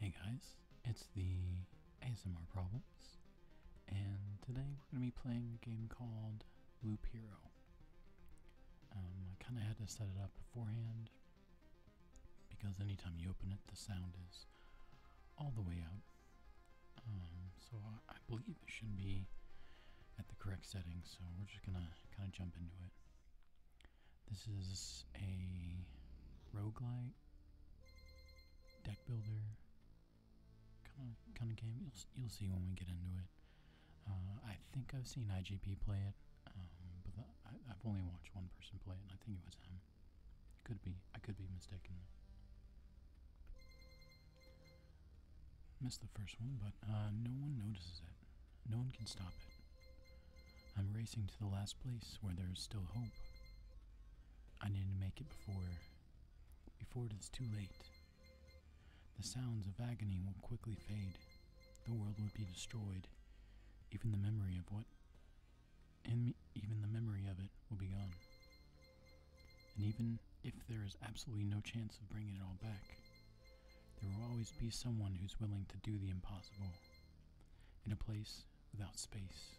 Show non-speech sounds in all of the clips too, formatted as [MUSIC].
Hey guys, it's the ASMR Problems, and today we're going to be playing a game called Loop Hero. Um, I kind of had to set it up beforehand because anytime you open it, the sound is all the way up. Um, so I, I believe it should be at the correct setting, so we're just going to kind of jump into it. This is a roguelike deck builder kind of kind of game. You'll you'll see when we get into it. Uh, I think I've seen IGP play it, um, but I, have only watched one person play it, I think it was him. It could be I could be mistaken. Missed the first one, but uh, no one notices it. No one can stop it. I'm racing to the last place where there is still hope. I need to make it before before it is too late. The sounds of agony will quickly fade. The world would be destroyed. Even the memory of what and even the memory of it will be gone. And even if there is absolutely no chance of bringing it all back, there will always be someone who's willing to do the impossible. In a place without space,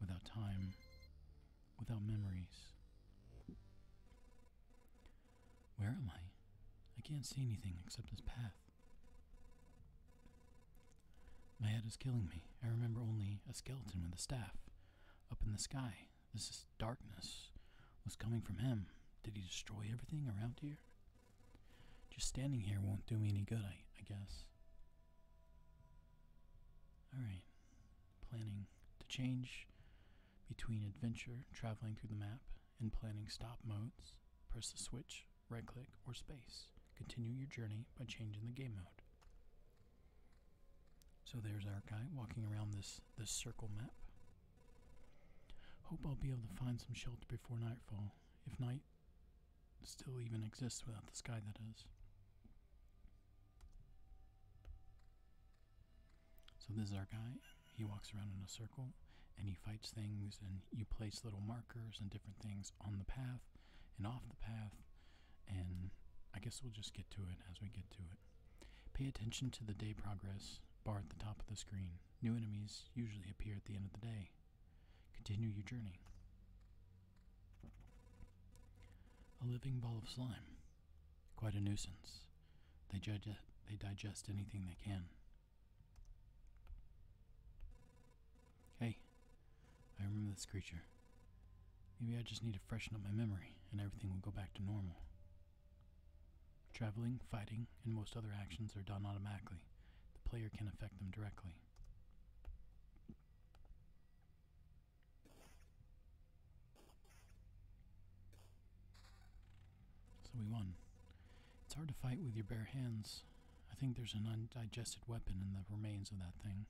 without time, without memories. Where am I? I can't see anything except this path. My head is killing me. I remember only a skeleton with a staff. Up in the sky, this darkness was coming from him. Did he destroy everything around here? Just standing here won't do me any good, I, I guess. Alright. Planning to change between adventure, traveling through the map, and planning stop modes. Press the switch, right click, or space. Continue your journey by changing the game mode. So there's our guy walking around this, this circle map. Hope I'll be able to find some shelter before nightfall if night still even exists without the sky, that is. So, this is our guy. He walks around in a circle and he fights things, and you place little markers and different things on the path and off the path. And I guess we'll just get to it as we get to it. Pay attention to the day progress bar at the top of the screen. New enemies usually appear at the end of the day. Continue your journey. A living ball of slime. Quite a nuisance. They, judge they digest anything they can. Hey, I remember this creature. Maybe I just need to freshen up my memory and everything will go back to normal. Traveling, fighting, and most other actions are done automatically the player can affect them directly. So we won. It's hard to fight with your bare hands. I think there's an undigested weapon in the remains of that thing.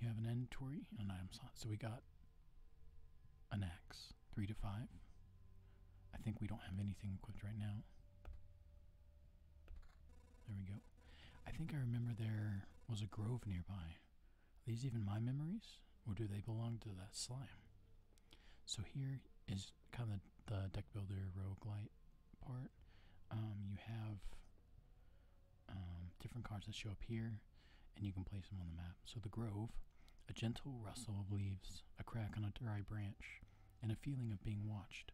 You have an inventory, and an item slot, so we got an axe three to five. I think we don't have anything equipped right now. There we go. I think I remember there was a grove nearby. these even my memories? Or do they belong to that slime? So here is kind of the, deck builder roguelite part. Um, you have um, different cards that show up here, and you can place them on the map. So the grove, a gentle rustle of leaves, a crack on a dry branch, and a feeling of being watched.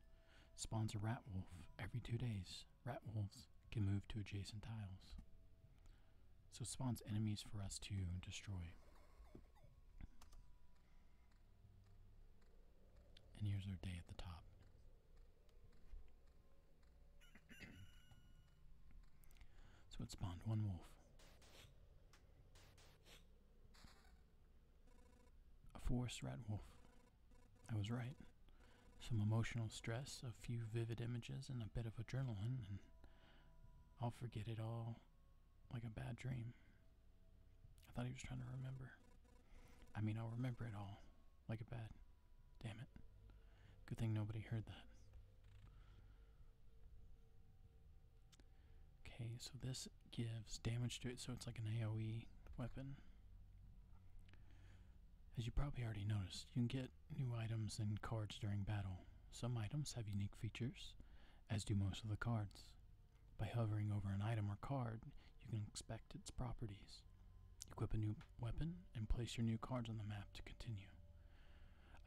Spawns a rat wolf every two days. Rat wolves can move to adjacent tiles. So spawns enemies for us to destroy. And here's our day at the top. so it spawned one wolf a forest rat wolf. I was right. Some emotional stress, a few vivid images, and a bit of adrenaline, and I'll forget it all like a bad dream. I thought he was trying to remember. I mean, I'll remember it all like a bad. Damn it. Good thing nobody heard that. Okay, so this gives damage to it, so it's like an AoE weapon. As you probably already noticed, you can get new items and cards during battle. Some items have unique features, as do most of the cards. By hovering over an item or card, you can inspect its properties. Equip a new weapon and place your new cards on the map to continue.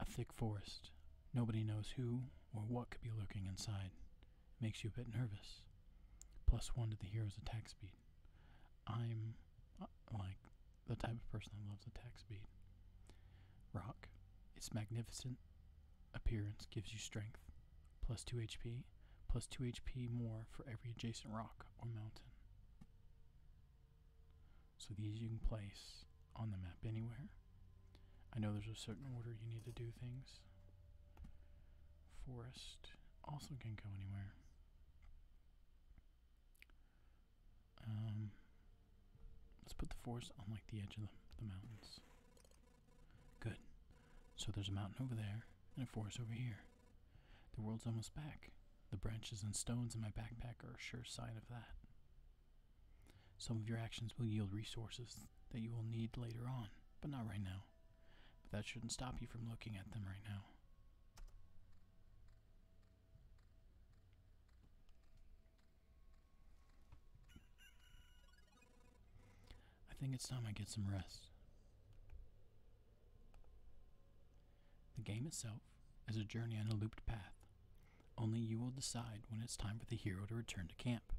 A thick forest. Nobody knows who or what could be lurking inside. Makes you a bit nervous. Plus one to the hero's attack speed. I'm uh, like the type of person that loves attack speed. Rock. Its magnificent appearance gives you strength. Plus 2 HP. Plus 2 HP more for every adjacent rock or mountain. So these you can place on the map anywhere I know there's a certain order you need to do things. Forest also can not go anywhere. Um, let's put the forest on like the edge of the, the mountains. Good. So there's a mountain over there and a forest over here. The world's almost back. The branches and stones in my backpack are a sure sign of that. Some of your actions will yield resources that you will need later on, but not right now. But that shouldn't stop you from looking at them right now. I think it's time I get some rest. The game itself is a journey on a looped path. Only you will decide when it's time for the hero to return to camp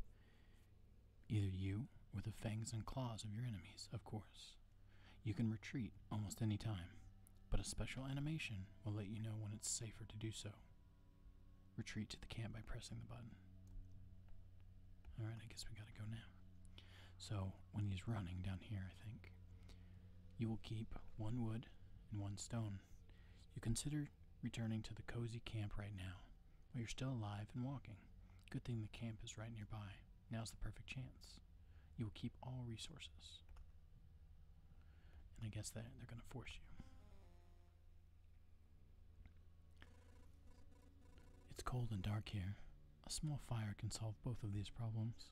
either you or the fangs and claws of your enemies, of course. You can retreat almost any time, but a special animation will let you know when it's safer to do so. Retreat to the camp by pressing the button. Alright, I guess we gotta go now. So, when he's running down here, I think, you will keep one wood and one stone. You consider returning to the cozy camp right now, well, you're still alive and walking. Good thing the camp is right nearby. Now's the perfect chance. You will keep all resources. And I guess that they're going to force you. It's cold and dark here. A small fire can solve both of these problems.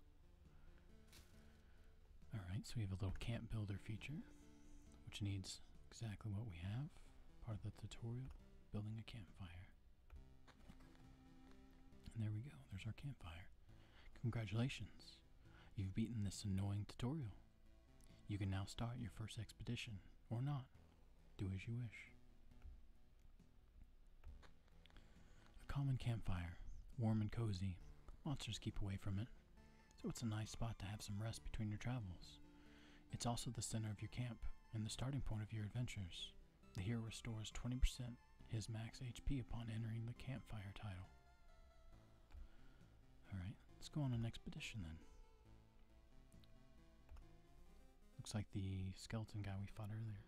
Alright, so we have a little camp builder feature which needs exactly what we have, part of the tutorial, building a campfire. And there we go, there's our campfire. Congratulations, you've beaten this annoying tutorial. You can now start your first expedition, or not. Do as you wish. A common campfire, warm and cozy. Monsters keep away from it so it's a nice spot to have some rest between your travels. It's also the center of your camp and the starting point of your adventures. The hero restores 20% his max HP upon entering the campfire title. Alright, let's go on an expedition then. Looks like the skeleton guy we fought earlier.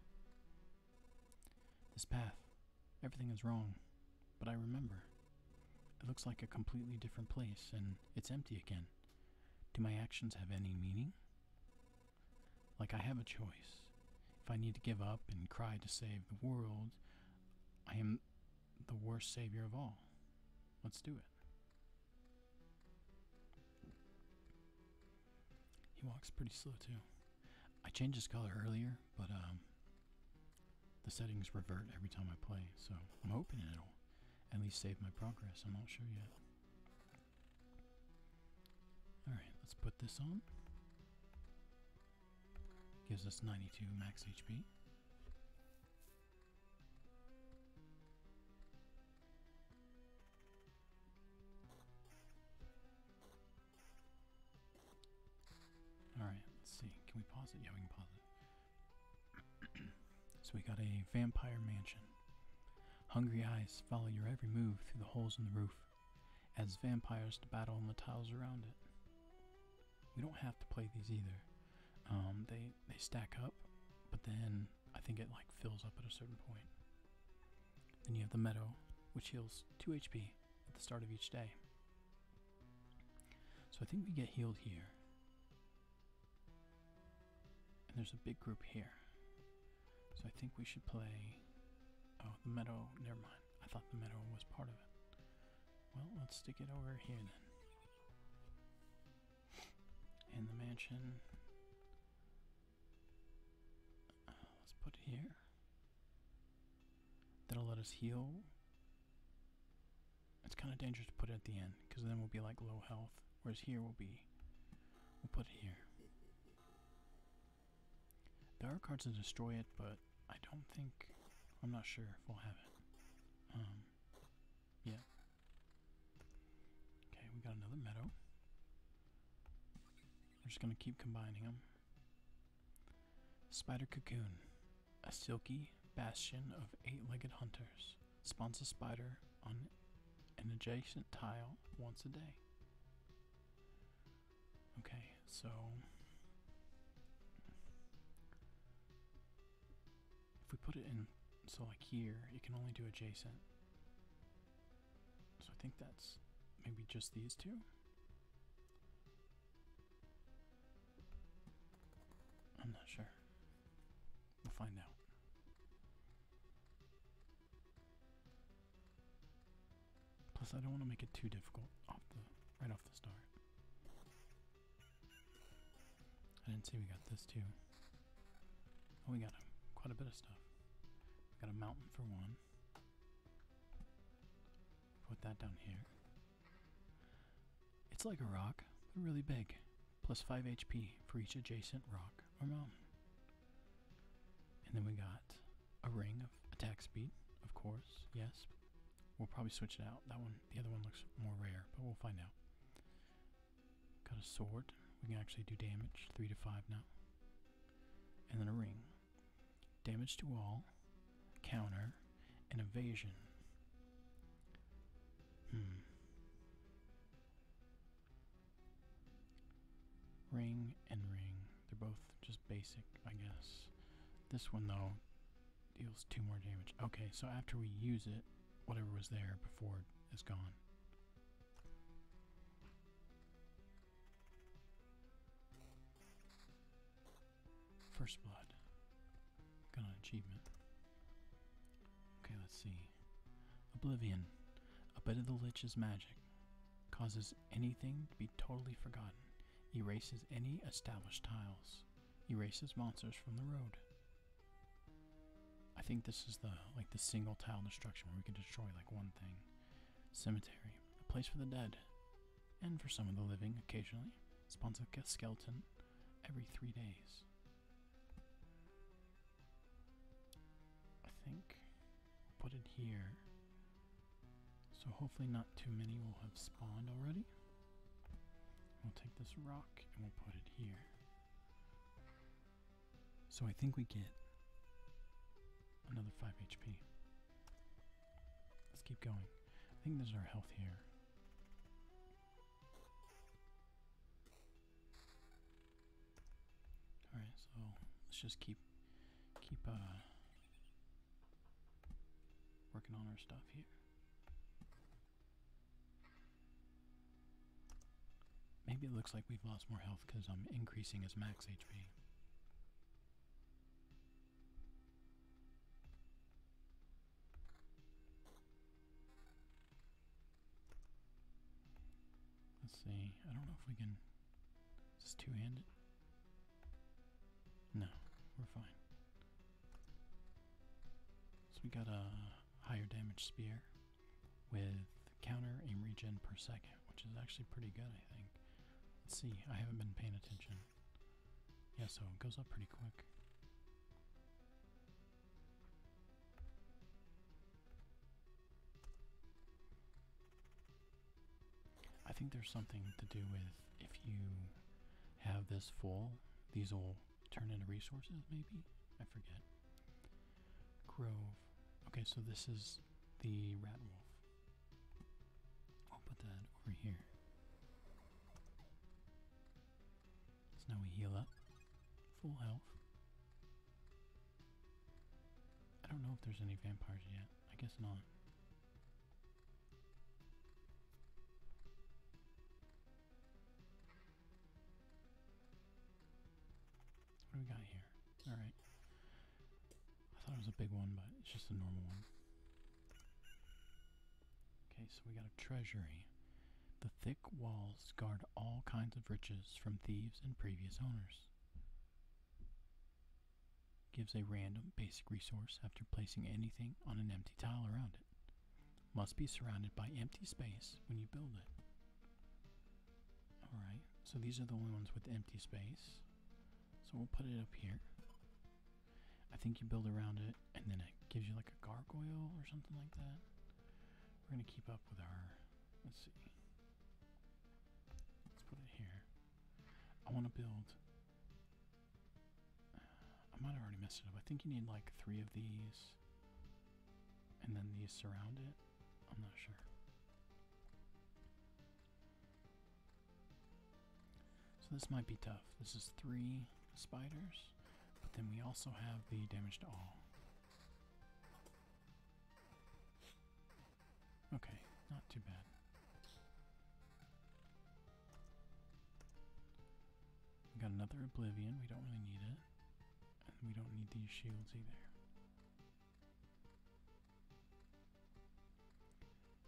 This path, everything is wrong, but I remember. It looks like a completely different place, and it's empty again. Do my actions have any meaning? Like, I have a choice. If I need to give up and cry to save the world, I am the worst savior of all. Let's do it. He walks pretty slow, too. I changed his color earlier, but um, the settings revert every time I play, so I'm hoping it'll at least save my progress. I'm not sure yet. Alright, let's put this on. Gives us 92 max HP. Alright, let's see. Can we pause it? Yeah, we can pause it. [CLEARS THROAT] so we got a vampire mansion. Hungry eyes follow your every move through the holes in the roof, as vampires to battle on the tiles around it. We don't have to play these either. Um, they they stack up, but then I think it like fills up at a certain point. Then you have the meadow, which heals 2 HP at the start of each day. So I think we get healed here. And there's a big group here. So I think we should play. Oh, the meadow. Never mind. I thought the meadow was part of it. Well, let's stick it over here then. In the mansion. let's put it here. That'll let us heal. It's kind of dangerous to put it at the end because then we'll be like low health. Whereas here we'll be, we'll put it here. There are cards to destroy it, but I don't think, I'm not sure if we'll have it. Um, yeah. Okay, we got another meadow. We're just gonna keep combining them. Spider Cocoon. A silky, bastion of eight-legged hunters spawns a spider on an adjacent tile once a day. Okay, so if we put it in, so like here, you can only do adjacent. So I think that's maybe just these two. I'm not sure. We'll find out. Plus, I don't want to make it too difficult off the right off the start. I didn't see we got this too. Oh, we got um, quite a bit of stuff. got a mountain for one. Put that down here. It's like a rock, but really big plus 5 HP for each adjacent rock or mountain. And then we got a ring of attack speed, of course, yes. We'll probably switch it out. That one, the other one looks more rare, but we'll find out. Got a sword. We can actually do damage, 3 to 5 now. And then a ring. Damage to all, counter, and evasion. Hmm. Ring and ring. They're both just basic, I guess. This one, though, deals two more damage. Okay, so after we use it, whatever was there before is gone. First blood. Got an achievement. Okay, let's see. Oblivion, a bit of the Lich's magic, causes anything to be totally forgotten, erases any established tiles, erases monsters from the road. I think this is the like the single tile destruction where we can destroy like one thing. Cemetery, a place for the dead, and for some of the living occasionally. Spawns a skeleton every three days. I think put it here. So hopefully not too many will have spawned already. We'll take this rock and we'll put it here. So I think we get another 5 HP. Let's keep going. I think there's our health here. All right, so let's just keep keep uh, working on our stuff here. Maybe it looks like we've lost more health because I'm increasing his max HP. Let's see. I don't know if we can. Is two handed? No, we're fine. So we got a higher damage spear with counter aim regen per second, which is actually pretty good, I think. Let's see. I haven't been paying attention. Yeah, so it goes up pretty quick. I think there's something to do with if you have this full, these will turn into resources, maybe? I forget. Grove. Okay, so this is the rat wolf. I'll put that over here. So now we heal up. Full health. I don't know if there's any vampires yet. I guess not. What do we got here? Alright. I thought it was a big one, but it's just a normal one. Okay, so we got a treasury. The thick walls guard all kinds of riches from thieves and previous owners. Gives a random basic resource after placing anything on an empty tile around it. Must be surrounded by empty space when you build it. Alright, so these are the only ones with empty space. So we'll put it up here. I think you build around it and then it gives you like a gargoyle or something like that. We're going to keep up with our, let's see, let's put it here. I want to build, I might already messed it up. I think you need like three of these and then these surround it. I'm not sure. So this might be tough. This is three spiders, but then we also have the damage to all. Okay, not too bad. We got another Oblivion, we don't really need it. And we don't need these shields either.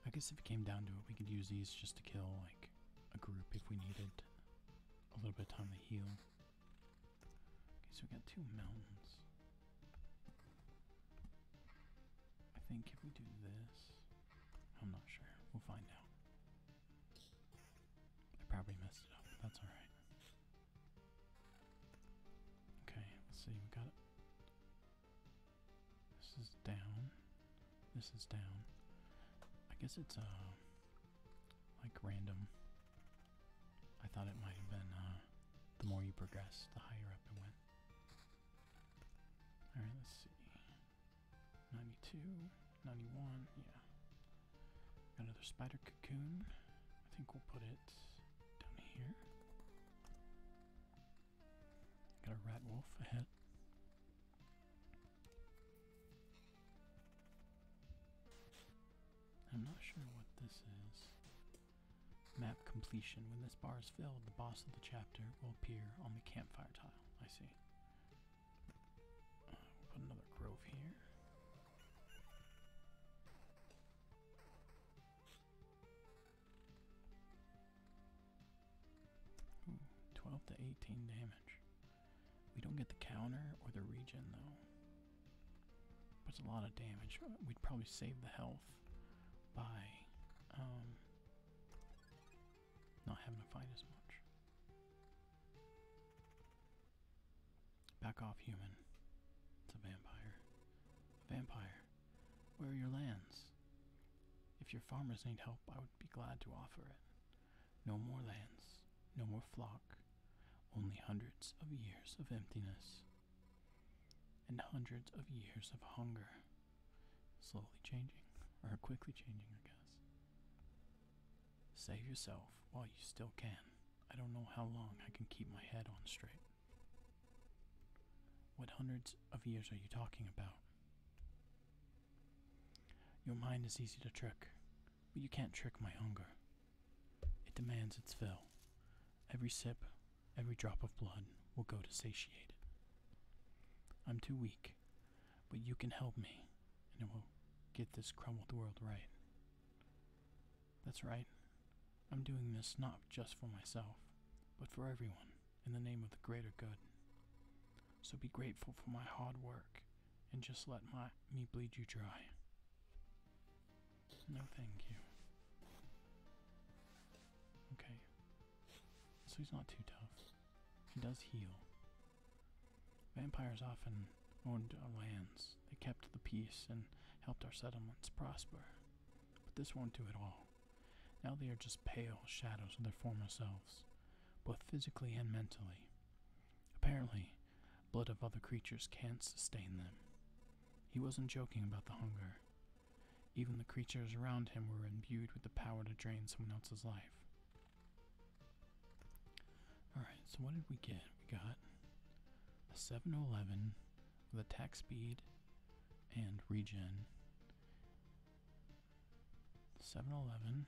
I guess if it came down to it, we could use these just to kill, like, a group if we needed a little bit of time to heal. Okay, so we got two mountains. I think if we do this, I'm not sure. We'll find out. I probably messed it up, but that's alright. Okay, let's see, we got it. This is down. This is down. I guess it's uh like random. I thought it might have been uh, the more you progress, the higher up it went. All right, let's see. 92, 91, yeah. Got another spider cocoon. I think we'll put it down here. Got a rat wolf ahead. I'm not sure what this is. Map completion. When this bar is filled, the boss of the chapter will appear on the campfire tile. I see. Uh, put another grove here. 12 to 18 damage. We don't get the counter or the region though. But it's a lot of damage. We'd probably save the health by um, not having to fight as much. Back off, human. It's a vampire. vampire. Where are your lands? If your farmers need help, I would be glad to offer it. No more lands, no more flock, only hundreds of years of emptiness and hundreds of years of hunger. Slowly changing, or quickly changing, I guess. Save yourself while you still can. I don't know how long I can keep my head on straight. What hundreds of years are you talking about? Your mind is easy to trick, but you can't trick my hunger. It demands its fill. Every sip, every drop of blood will go to satiate it. I'm too weak, but you can help me, and it will get this crumbled world right. That's right. I'm doing this not just for myself, but for everyone, in the name of the greater good. So be grateful for my hard work and just let my me bleed you dry. No, thank you. Okay. So he's not too tough. He does heal. Vampires often owned lands. They kept the peace and helped our settlements prosper. But this won't do at all. Now they are just pale shadows of their former selves, both physically and mentally. Apparently, Blood of other creatures can't sustain them. He wasn't joking about the hunger. Even the creatures around him were imbued with the power to drain someone else's life. Alright, so what did we get? We got a 7 11 with attack speed and regen. 7 11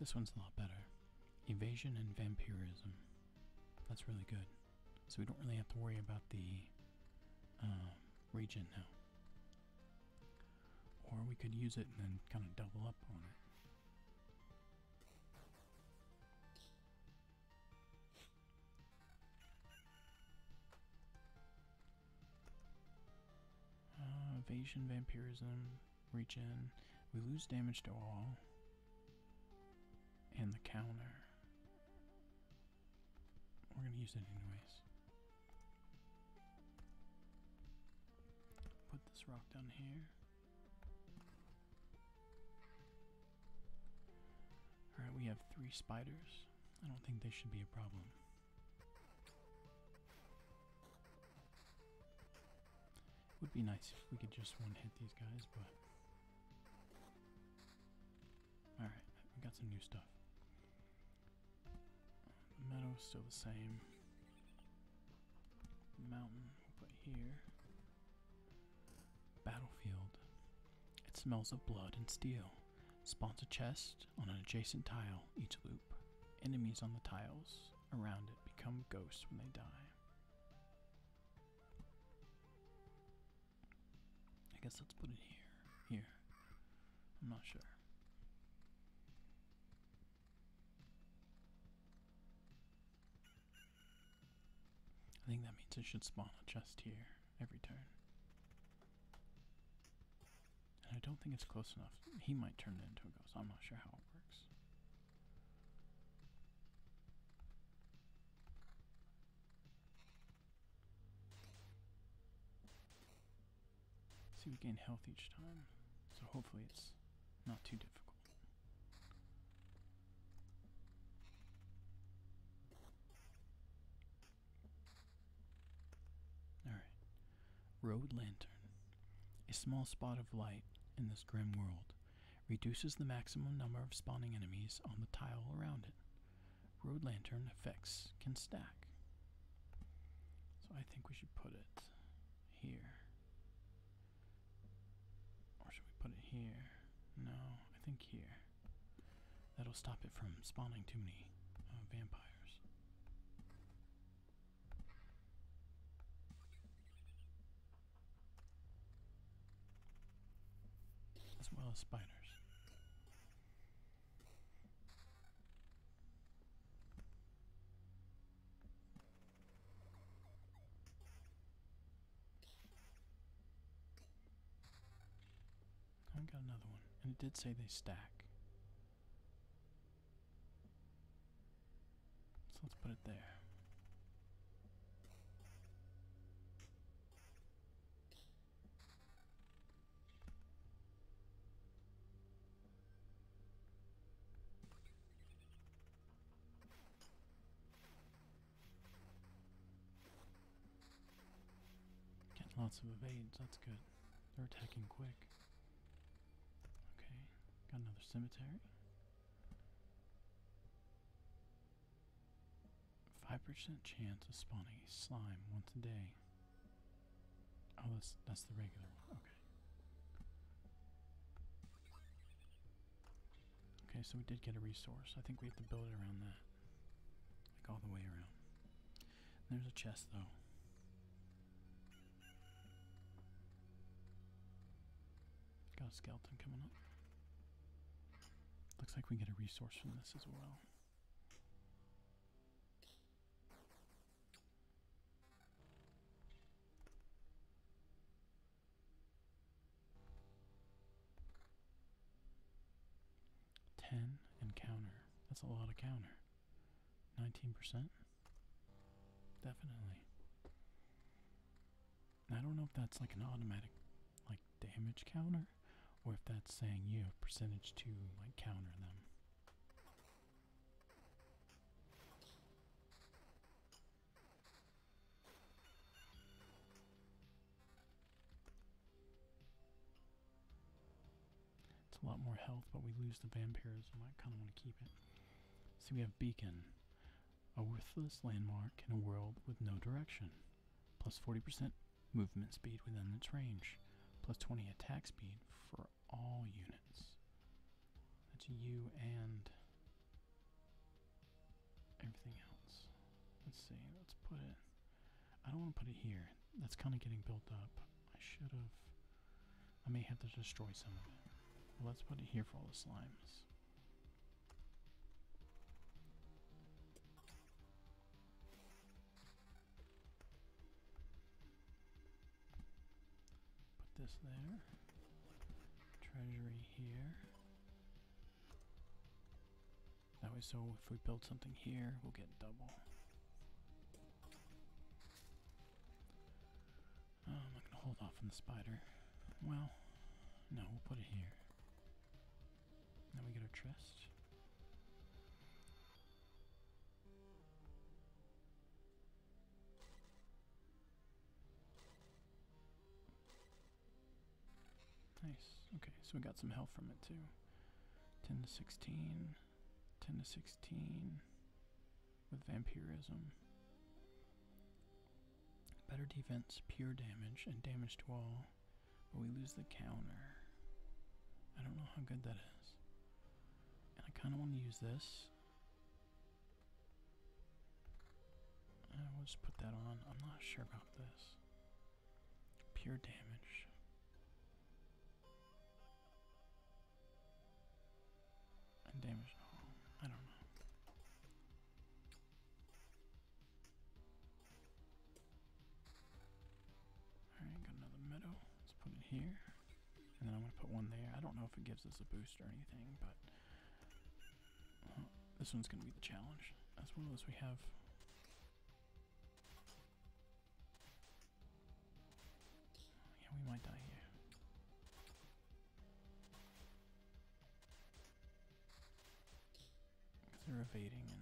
this one's a lot better. Evasion and vampirism. That's really good. So we don't really have to worry about the um, region now. Or we could use it and then kind of double up on it. Uh, evasion, vampirism, reach in. We lose damage to all. And the counter. We're going to use it anyways. Put this rock down here. Alright, we have three spiders. I don't think they should be a problem. Would be nice if we could just one hit these guys, but. Alright, we got some new stuff. The meadow is still the same. Mountain, put here. Battlefield. It smells of blood and steel. Spawns a chest on an adjacent tile each loop. Enemies on the tiles around it become ghosts when they die. I guess let's put it here. Here. I'm not sure. I think that means it should spawn just here every turn. And I don't think it's close enough. He might turn it into a ghost. I'm not sure how it works. See, we gain health each time, so hopefully it's not too difficult. All right. Road lantern. A small spot of light in this grim world. Reduces the maximum number of spawning enemies on the tile around it. Road lantern effects can stack. So I think we should put it here. Or should we put it here? No, I think here. That'll stop it from spawning too many uh, vampires as well as spiders. I got another one, and it did say they stack. So let's put it there. Getting lots of evades, that's good. They're attacking quick. Okay, got another cemetery. 5% chance of spawning slime once a day. Oh, that's, that's the regular one. Okay. Okay, so we did get a resource. I think we have to build it around that. Like all the way around. There's a chest, though. Got a skeleton coming up. Looks like we get a resource from this as well. Ten and That's a lot of counter. Nineteen percent. Definitely. I don't know if that's like an automatic like damage counter or if that's saying you have percentage to like counter them. It's a lot more health, but we lose the vampirism. I kind of want to keep it. So we have beacon. A worthless landmark in a world with no direction. Plus 40% movement speed within its range. Plus 20 attack speed for all units. That's you and everything else. Let's see, let's put it. I don't want to put it here. That's kind of getting built up. I should have. I may have to destroy some of it. let's put it here for all the slimes. Put this there. Treasury here. That way, so if we build something here, we'll get double. Oh, I'm not going to hold off on the spider. Well, no, we'll put it here. Now we get our trust. Nice. Okay, so we got some health from it too. 10 to 16, 10 to 16 with vampirism. Better defense, pure damage, and damage to all, but we lose the counter. I don't know how good that is. And I kind of want to use this. I will just put that on. I'm not sure about this. Pure damage and damage I don't know. Alright, got another meadow. Let's put it here. And then I'm going to put one there. I don't know if it gives us a boost or anything, but uh, this one's going to be the challenge. As well as we have Yeah, we might die here. They're evading and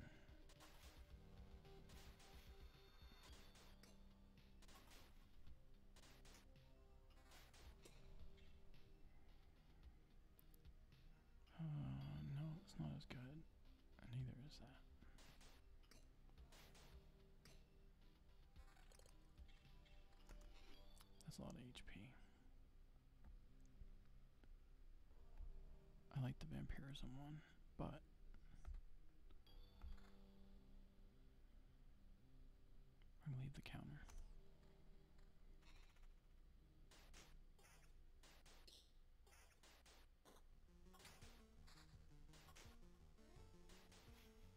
Oh no, it's not as good. neither is that. That's a lot of HP. I like the vampirism one, but I'm gonna leave the counter.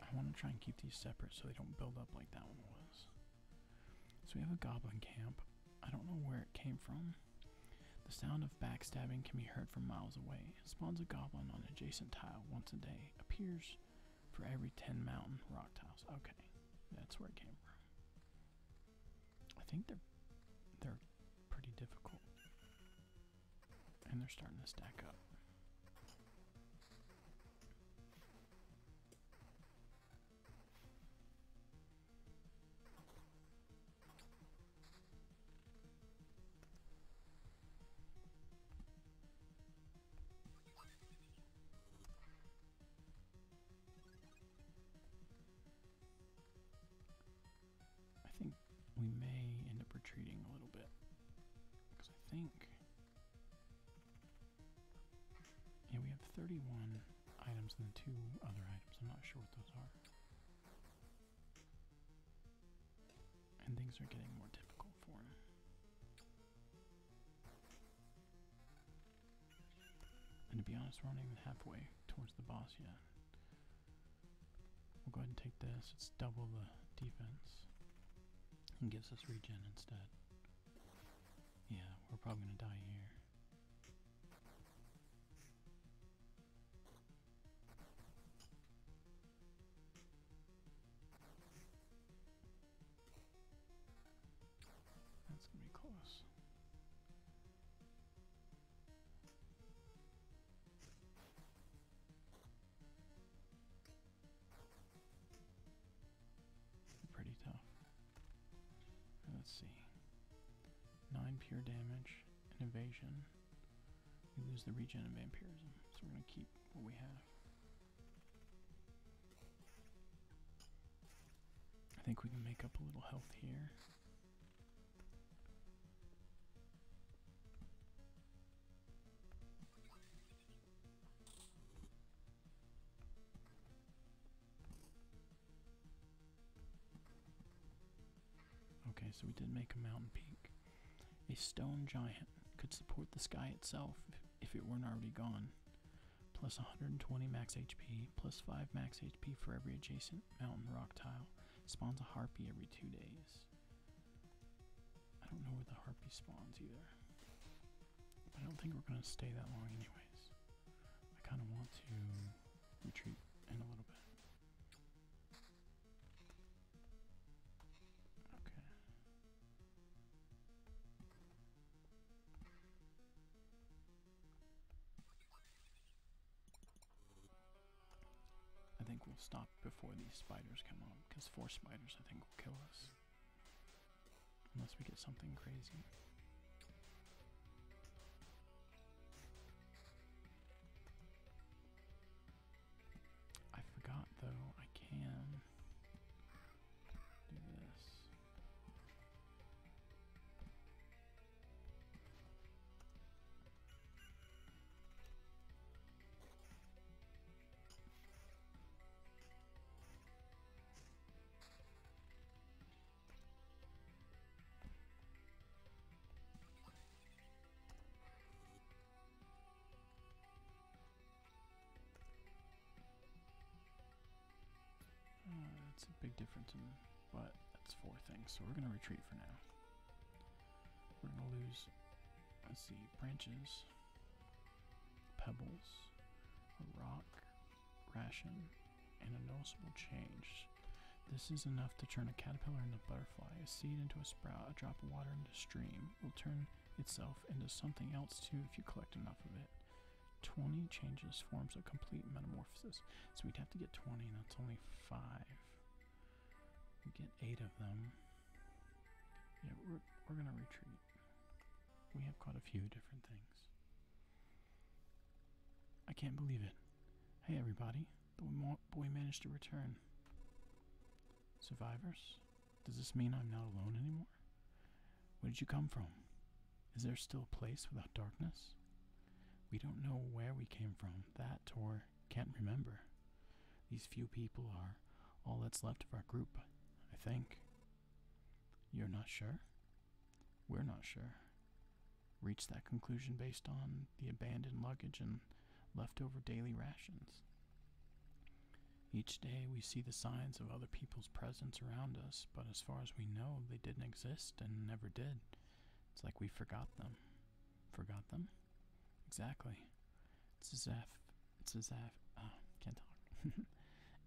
I want to try and keep these separate so they don't build up like that one was. So we have a goblin camp. I don't know where it came from. The sound of backstabbing can be heard from miles away. Spawns a goblin on adjacent tile once a day. Appears for every 10 mountain rock tiles. Okay, that's where it came from. I think they're they're pretty difficult. And they're starting to stack up. I think we may end up retreating a little bit because I think yeah we have 31 items and the two other items I'm not sure what those are and things are getting more difficult for him and to be honest, we're not even halfway towards the boss yet. We'll go ahead and take this. It's double the defense and gives us regen instead. Yeah, we're probably going to die here. That's going to be close. Pretty tough. Let's see. Nine pure damage and invasion. We lose the regen of vampirism, so we're going to keep what we have. I think we can make up a little health here. Okay, so we did make a mountain peak. A stone giant could support the sky itself if it weren't already gone plus 120 max HP, plus 5 max HP for every adjacent mountain rock tile. Spawns a harpy every two days. I don't know where the harpy spawns either. I don't think we're going to stay that long, anyways. I kind of want to retreat in a little bit. Okay. I think we'll stop before these spiders come on, because four spiders I think will kill us. Unless we get something crazy. I forgot though, I can do this. Uh, that's a big difference but that's four things, so we're gonna retreat for now. We're gonna lose let's see, branches, pebbles, a rock, ration, and a noticeable change. This is enough to turn a caterpillar into a butterfly, a seed into a sprout, a drop of water into a stream. Will turn itself into something else too if you collect enough of it. 20 changes forms a complete metamorphosis. So we'd have to get 20, and that's only 5. We get 8 of them. Yeah, we're, we're going to retreat. We have caught a few different things. I can't believe it. Hey, everybody. The boy managed to return. Survivors? Does this mean I'm not alone anymore? Where did you come from? Is there still a place without darkness? We don't know where we came from, that or can't remember. These few people are all that's left of our group, I think. You're not sure? We're not sure. Reached that conclusion based on the abandoned luggage and leftover daily rations. Each day we see the signs of other people's presence around us, but as far as we know, they didn't exist and never did. It's like we forgot them. Forgot them? Exactly. It's as if it's as if ah, can't talk. [LAUGHS]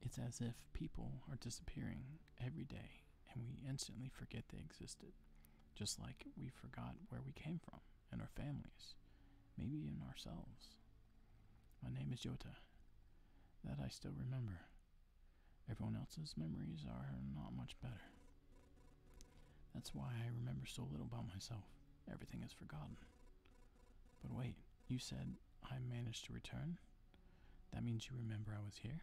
it's as if people are disappearing every day, and we instantly forget they existed. Just like we forgot where we came from and our families, maybe even ourselves. My name is Jota that I still remember. Everyone else's memories are not much better. That's why I remember so little about myself. Everything is forgotten. But wait, you said I managed to return? That means you remember I was here?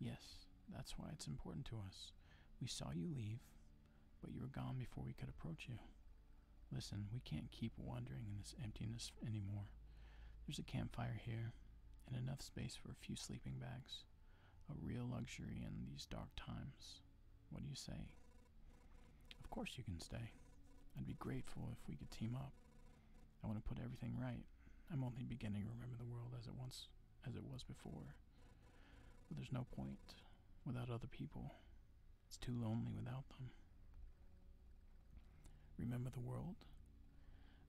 Yes, that's why it's important to us. We saw you leave, but you were gone before we could approach you. Listen, we can't keep wandering in this emptiness anymore. There's a campfire here, and enough space for a few sleeping bags. A real luxury in these dark times. What do you say? Of course you can stay. I'd be grateful if we could team up. I want to put everything right. I'm only beginning to remember the world as it once as it was before. But there's no point without other people. It's too lonely without them. Remember the world?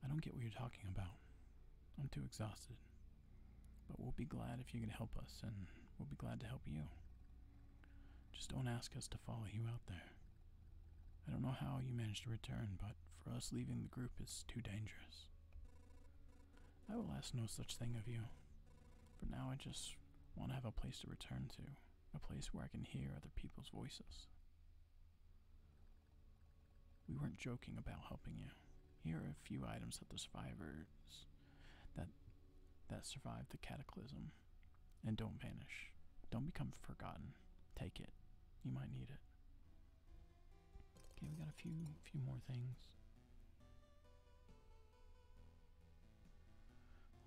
I don't get what you're talking about. I'm too exhausted. But we'll be glad if you can help us, and we'll be glad to help you. Just don't ask us to follow you out there. I don't know how you managed to return, but for us leaving the group is too dangerous. I will ask no such thing of you, For now I just want to have a place to return to a place where I can hear other people's voices. We weren't joking about helping you. Here are a few items that the survivors that that survived the cataclysm. And don't vanish. Don't become forgotten. Take it. You might need it. Okay, we got a few few more things.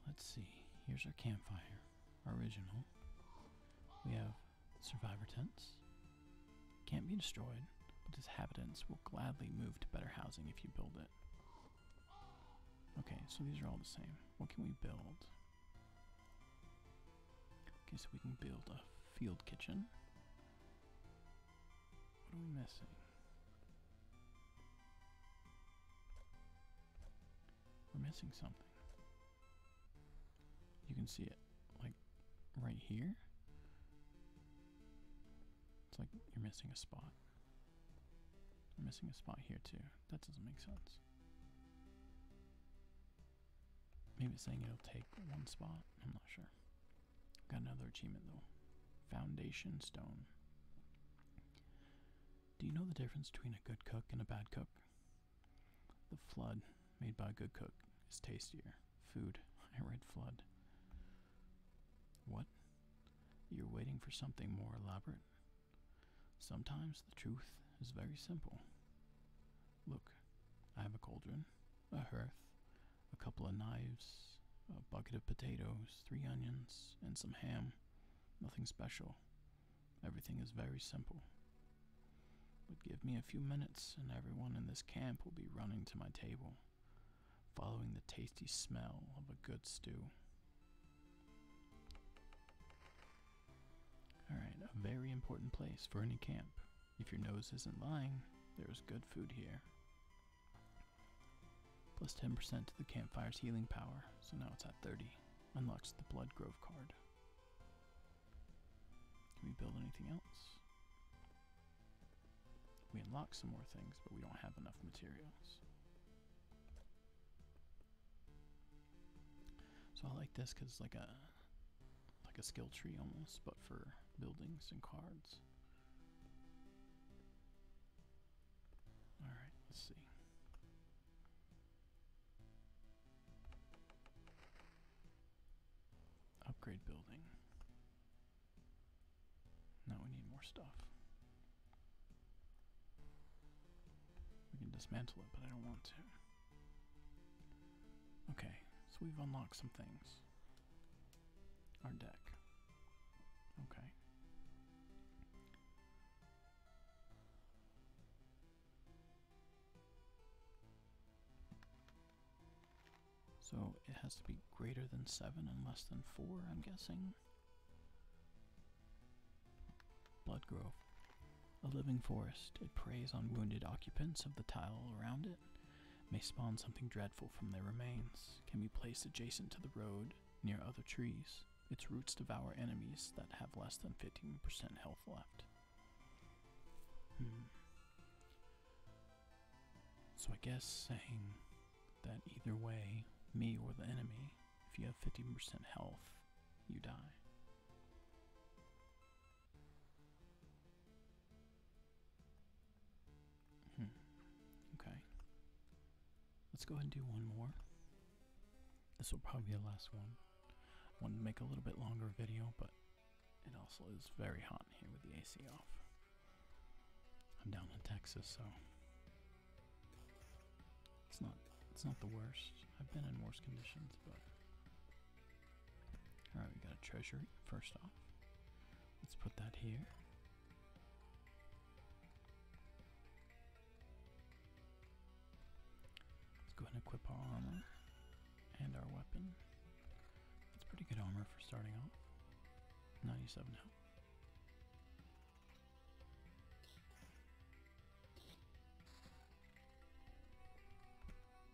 Let's see. Here's our campfire original. We have survivor tents. Can't be destroyed, but its inhabitants will gladly move to better housing if you build it. Okay, so these are all the same. What can we build? Okay, so we can build a field kitchen. What are we missing? We're missing something. You can see it like right here. It's like you're missing a spot. I'm missing a spot here too. That doesn't make sense. Maybe it's saying it'll take one spot. I'm not sure. Got another achievement though. Foundation stone. Do you know the difference between a good cook and a bad cook? The flood made by a good cook is tastier. Food. [LAUGHS] I read flood. What? You're waiting for something more elaborate? Sometimes the truth is very simple. Look, I have a cauldron, a hearth, a couple of knives, a bucket of potatoes, three onions, and some ham. Nothing special. Everything is very simple. But give me a few minutes, and everyone in this camp will be running to my table, following the tasty smell of a good stew. Alright, a very important place for any camp. If your nose isn't lying, there's good food here. Plus 10% to the campfire's healing power, so now it's at 30. Unlocks the Blood Grove card. Can we build anything else? We unlock some more things, but we don't have enough materials. So I like this because it's like a like a skill tree almost, but for buildings and cards. All right, let's see. Upgrade building. Now we need more stuff. We can dismantle it, but I don't want to. Okay, so we've unlocked some things. Our deck. Okay. So it has to be greater than 7 and less than 4, I'm guessing. Blood Grove. A living forest, it preys on wounded occupants of the tile around it, may spawn something dreadful from their remains, can be placed adjacent to the road, near other trees. Its roots devour enemies that have less than 15% health left. Hmm. So I guess saying that either way, me or the enemy, if you have 15% health, you die. Hmm. Okay. Let's go ahead and do one more. This will probably be the last one. I wanted to make a little bit longer video, but it also is very hot here with the AC off. I'm down in Texas, so it's not it's not the worst. I've been in worse conditions, but all right, we got a treasury first off. Let's put that here. Let's go ahead and equip our armor and our weapon. That's pretty good armor for starting off. 97 now.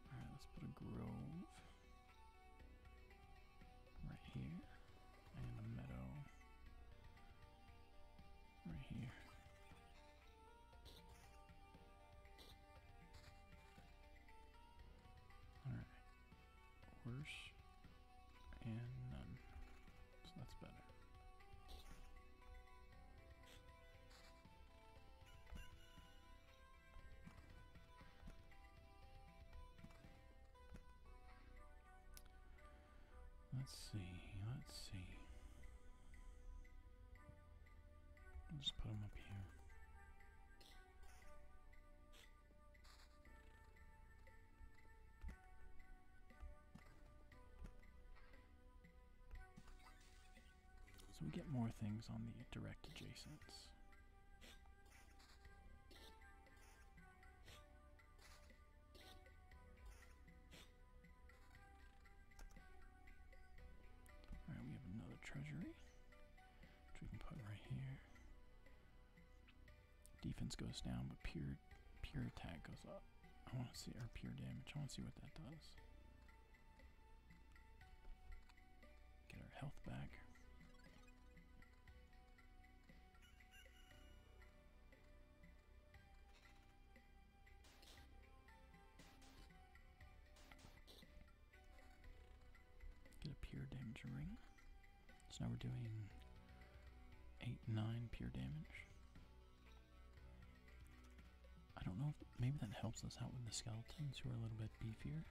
Alright, let's put a grove right here and a meadow. Right here. Alright. Worse and none. So that's better. Let's see, let's see. just put them up here. So we get more things on the direct adjacents. Alright, we have another treasury, which we can put right here. Defense goes down, but pure pure attack goes up. I want to see our pure damage. I want to see what that does. Get our health back. Get a pure damage ring. So now we're doing 8, 9 pure damage. I don't know if maybe that helps us out with the skeletons who are a little bit beefier.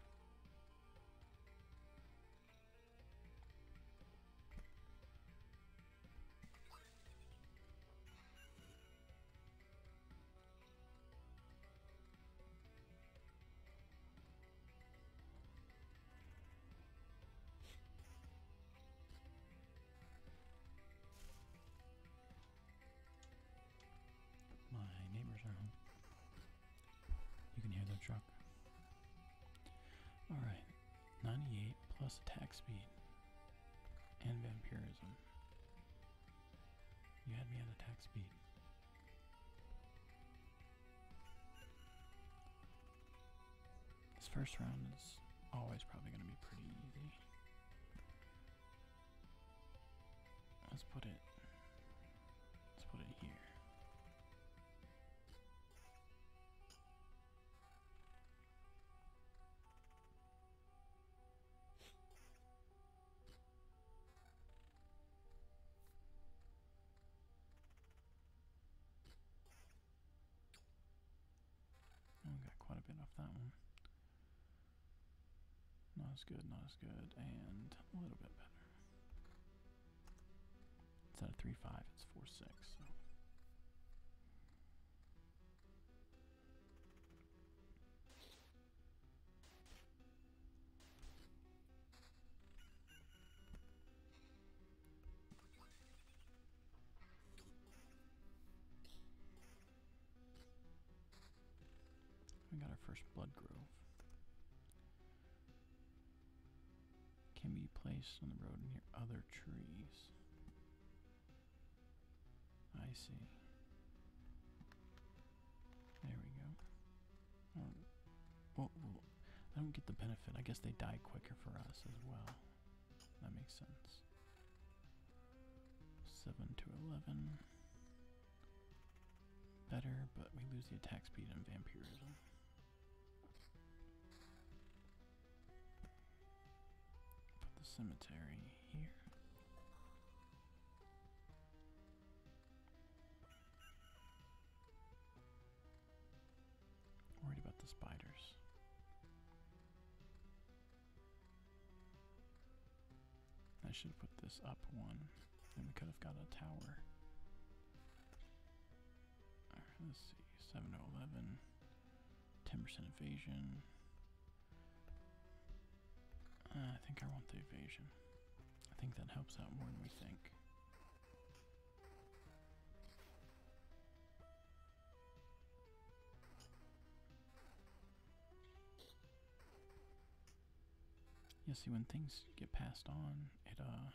My neighbors are home. You can hear the truck. Alright, 98 plus attack speed and vampirism. You had me on attack speed. This first round is always probably going to be pretty easy. Let's put it. Let's put it here. I oh, got quite a bit off that one. Not as good, not as good, and a little bit better. Instead of 3 5, it's 4 6. We got our first blood grove. Can be placed on the road near other trees. I see. There we go. Um, I don't get the benefit. I guess they die quicker for us as well. That makes sense. 7 to 11. Better, but we lose the attack speed and vampirism. Put the cemetery here. Worried about the spiders. I should have put this up one, and we could have got a tower. Alright, let's see. 7 to 11. 10% evasion. Uh, I think I want the evasion. I think that helps out more than we think. Yeah, see, when things get passed on, it, uh,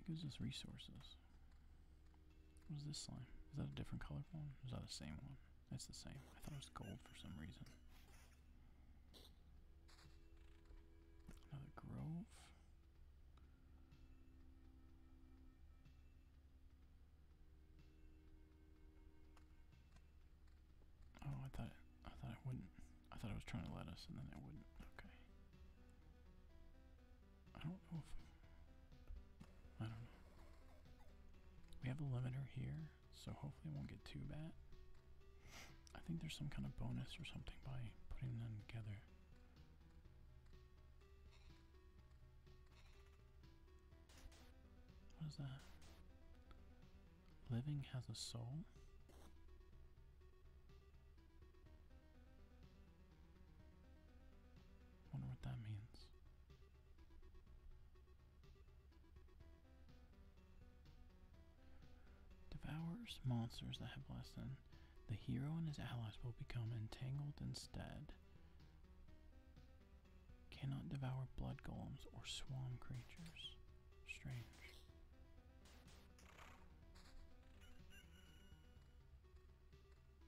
it gives us resources. Was this slime? Is that a different color one? Is that the same one? That's the same. I thought it was gold for some reason. Another grove. Oh, I thought I thought it wouldn't. I thought it was trying to let us, and then it wouldn't. Okay. I don't know I don't know. We have a limiter here, so hopefully it won't get too bad. I think there's some kind of bonus or something by putting them together. What is that? Living has a soul? Wonder what that means. Devours monsters that have blessed them. The hero and his allies will become entangled instead. Cannot devour blood golems or swarm creatures. Strange.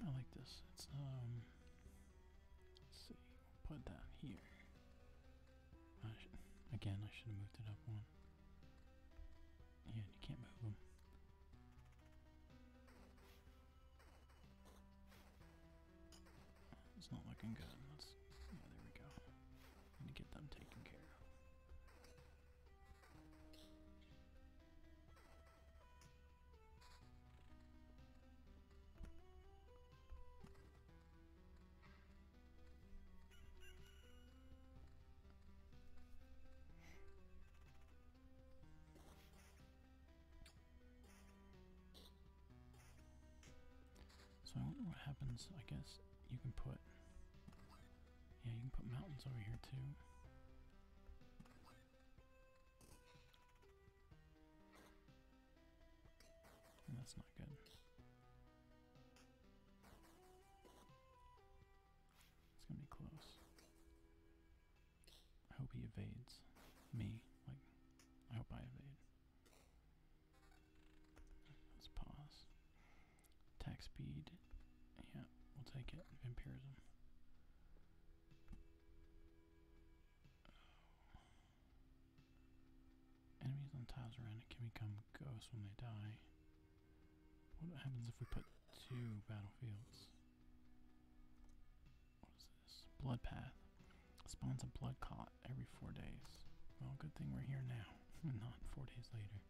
I like this. It's um let's see, we'll put it down here. again I should have moved it up one. Yeah, you can't move them. It's not looking good. Let's, yeah, there we go. Need to get them taken care so I wonder what happens. I guess you can put, yeah, you can put mountains over here too. that's not good. It's gonna be close. I hope he evades me. Like, I hope I evade. Let's pause. Attack speed. Yeah, we'll take it. Vampirism. Enemies on tiles around it can become ghosts when they die. What happens if we put two battlefields? What is this? Blood path Spawns a blood clot every four days. Well, good thing we're here now, and [LAUGHS] not four days later.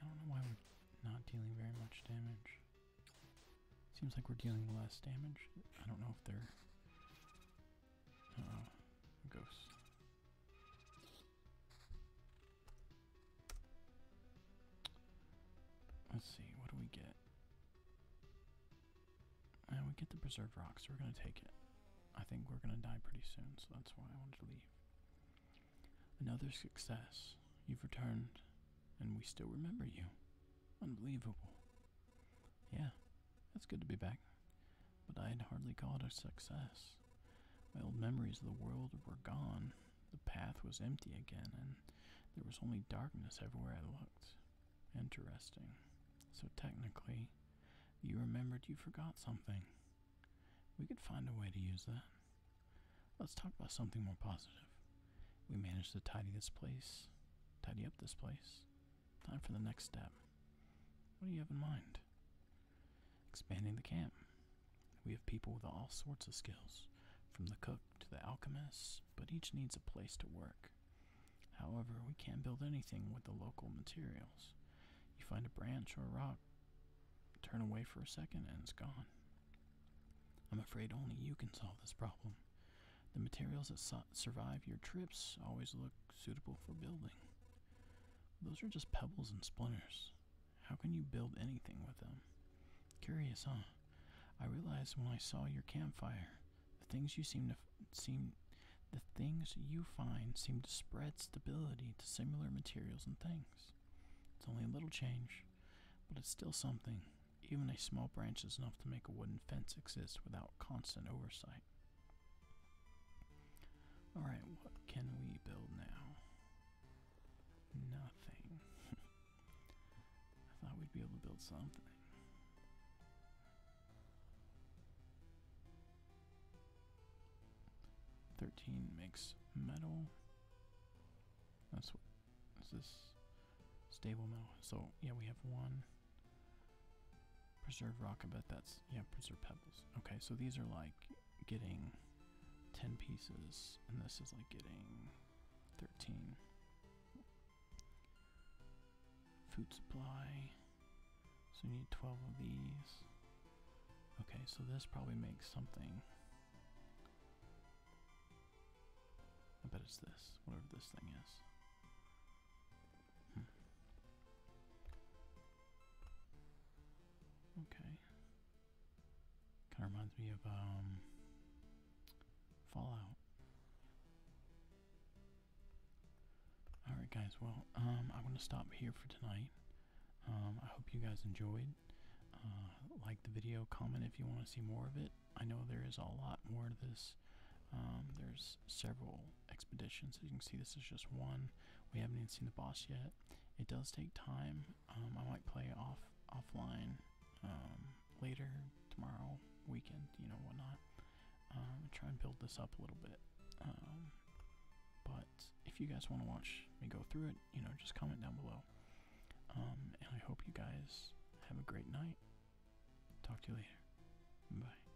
I don't know why we're not dealing very much damage. Seems like we're dealing less damage. I don't know if they're. ghosts. Let's see, what do we get? And uh, we get the preserved rock, so we're gonna take it. I think we're gonna die pretty soon, so that's why I wanted to leave. Another success. You've returned, and we still remember you. Unbelievable. Yeah, that's good to be back but I had hardly got a success. My old memories of the world were gone. The path was empty again, and there was only darkness everywhere I looked. Interesting. So technically, you remembered you forgot something. We could find a way to use that. Let's talk about something more positive. We managed to tidy this place, tidy up this place, Time for the next step. What do you have in mind? Expanding the camp. We have people with all sorts of skills, from the cook to the alchemist, but each needs a place to work. However, we can't build anything with the local materials. You find a branch or a rock, turn away for a second, and it's gone. I'm afraid only you can solve this problem. The materials that survive your trips always look suitable for building. Those are just pebbles and splinters. How can you build anything with them? Curious, huh? I realized when I saw your campfire, the things you seem to seem the things you find seem to spread stability to similar materials and things. It's only a little change, but it's still something. Even a small branch is enough to make a wooden fence exist without constant oversight. Alright, what can we build now? Nothing. [LAUGHS] I thought we'd be able to build something. Thirteen makes metal. That's what is this stable metal. So yeah, we have one. Preserved rock, I bet that's, yeah, Preserved pebbles. Okay, so these are like getting 10 pieces, and this is like getting 13. Food supply, so we need 12 of these. Okay, so this probably makes something. I bet it's this, whatever this thing is. Okay. Kind of reminds me of um, Fallout. All right, guys. Well, um, I'm gonna stop here for tonight. Um, I hope you guys enjoyed. Uh, like the video, comment if you want to see more of it. I know there is a lot more to this. there's several expedition. So you can see this is just one. We haven't even seen the boss yet. It does take time. Um, I might play off offline um, later tomorrow weekend, you know whatnot. Um, try and build this up a little bit. Um, but if you guys want to watch me go through it, you know, just comment down below. and I hope you guys have a great night. Talk to you later. Bye.